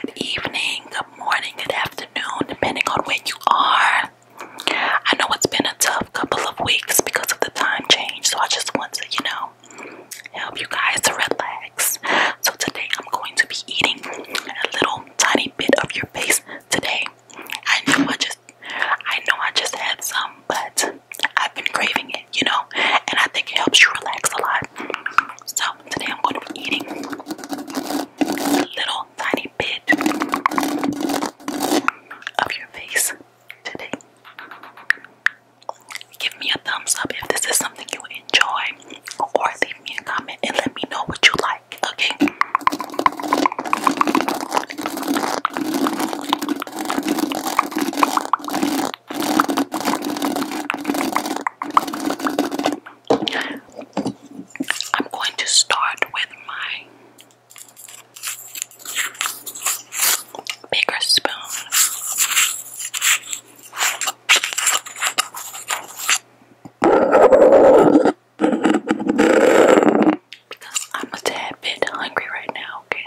good evening, good morning, good afternoon, depending on where you are. I know it's been a tough couple of weeks because of the time change, so I just want to, you know, help you guys relax. So today I'm going to be eating a little tiny bit of your face today. I know I just I know I just had some, but I've been craving it, you know, and I think it helps you relax a lot. So Today I'm going to be eating a little tiny bit of your face today. Give me a thumbs up if this is something you enjoy, or leave me a comment and let me know what you like, okay? I'm going to start with my bigger spoon. Because I'm a tad bit hungry right now, okay?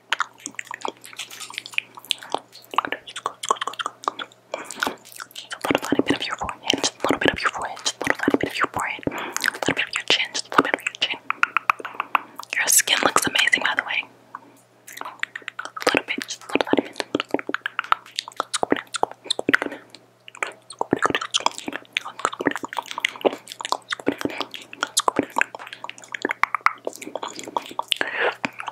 Just a little bit of your forehead, a little bit of your forehead, a little bit of your forehead, a little bit of your chin, just a little bit of your chin. Your skin looks amazing, by the way.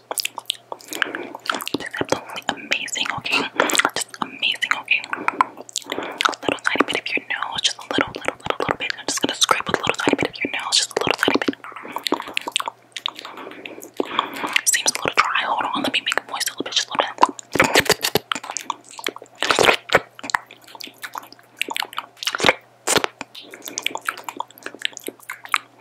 These are amazing, okay? Just amazing, okay? A little tiny bit of your nose, just a little, little, little, little bit. I'm just gonna scrape with a little tiny bit of your nose, just a little tiny bit. Seems a little dry. Hold on, let me make it moist a little bit, just a little bit.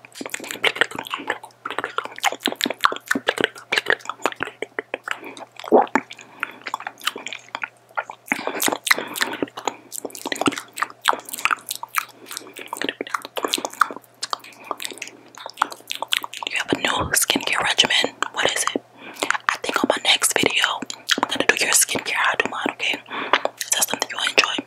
You have a new skincare regimen. What is it? I think on my next video, I'm gonna do your skincare. i do mine, okay? Is that something you'll enjoy?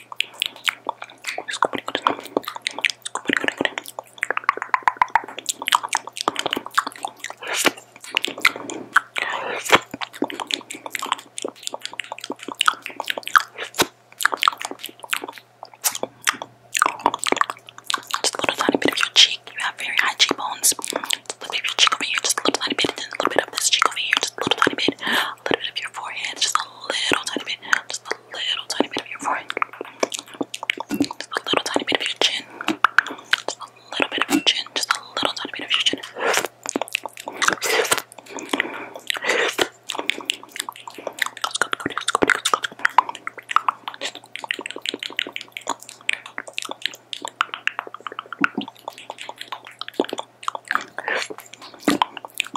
Just a little tiny bit of your cheek. You have very high cheekbones. Just a little bit of your cheek over here. Just a little tiny bit. And a little bit of this cheek over here. Just a little tiny bit a little bit of your forehead, just a little tiny bit, just a little tiny bit of your forehead, just a little tiny bit of your chin, just a little bit of your chin, just a little tiny bit of your chin.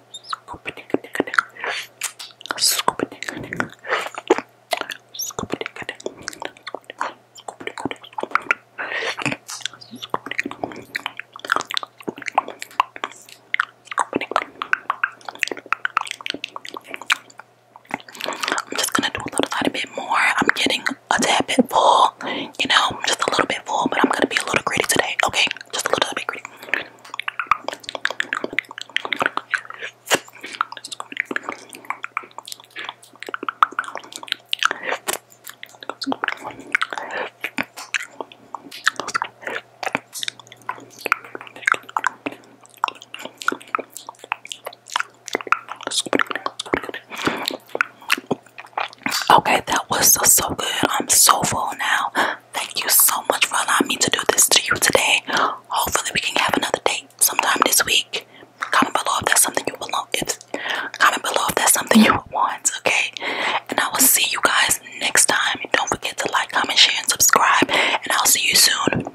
I'm just gonna do a little bit more. I'm getting a tad bit full, you know, I'm just a little bit full, but I'm gonna be a little greedy today, okay? Just a little bit greedy. Okay, that was so, so good. I'm so full now. Thank you so much for allowing me to do this to you today. Hopefully, we can have another date sometime this week. Comment below if that's something you want. comment below if that's something you want, okay? And I will see you guys next time. Don't forget to like, comment, share, and subscribe. And I'll see you soon.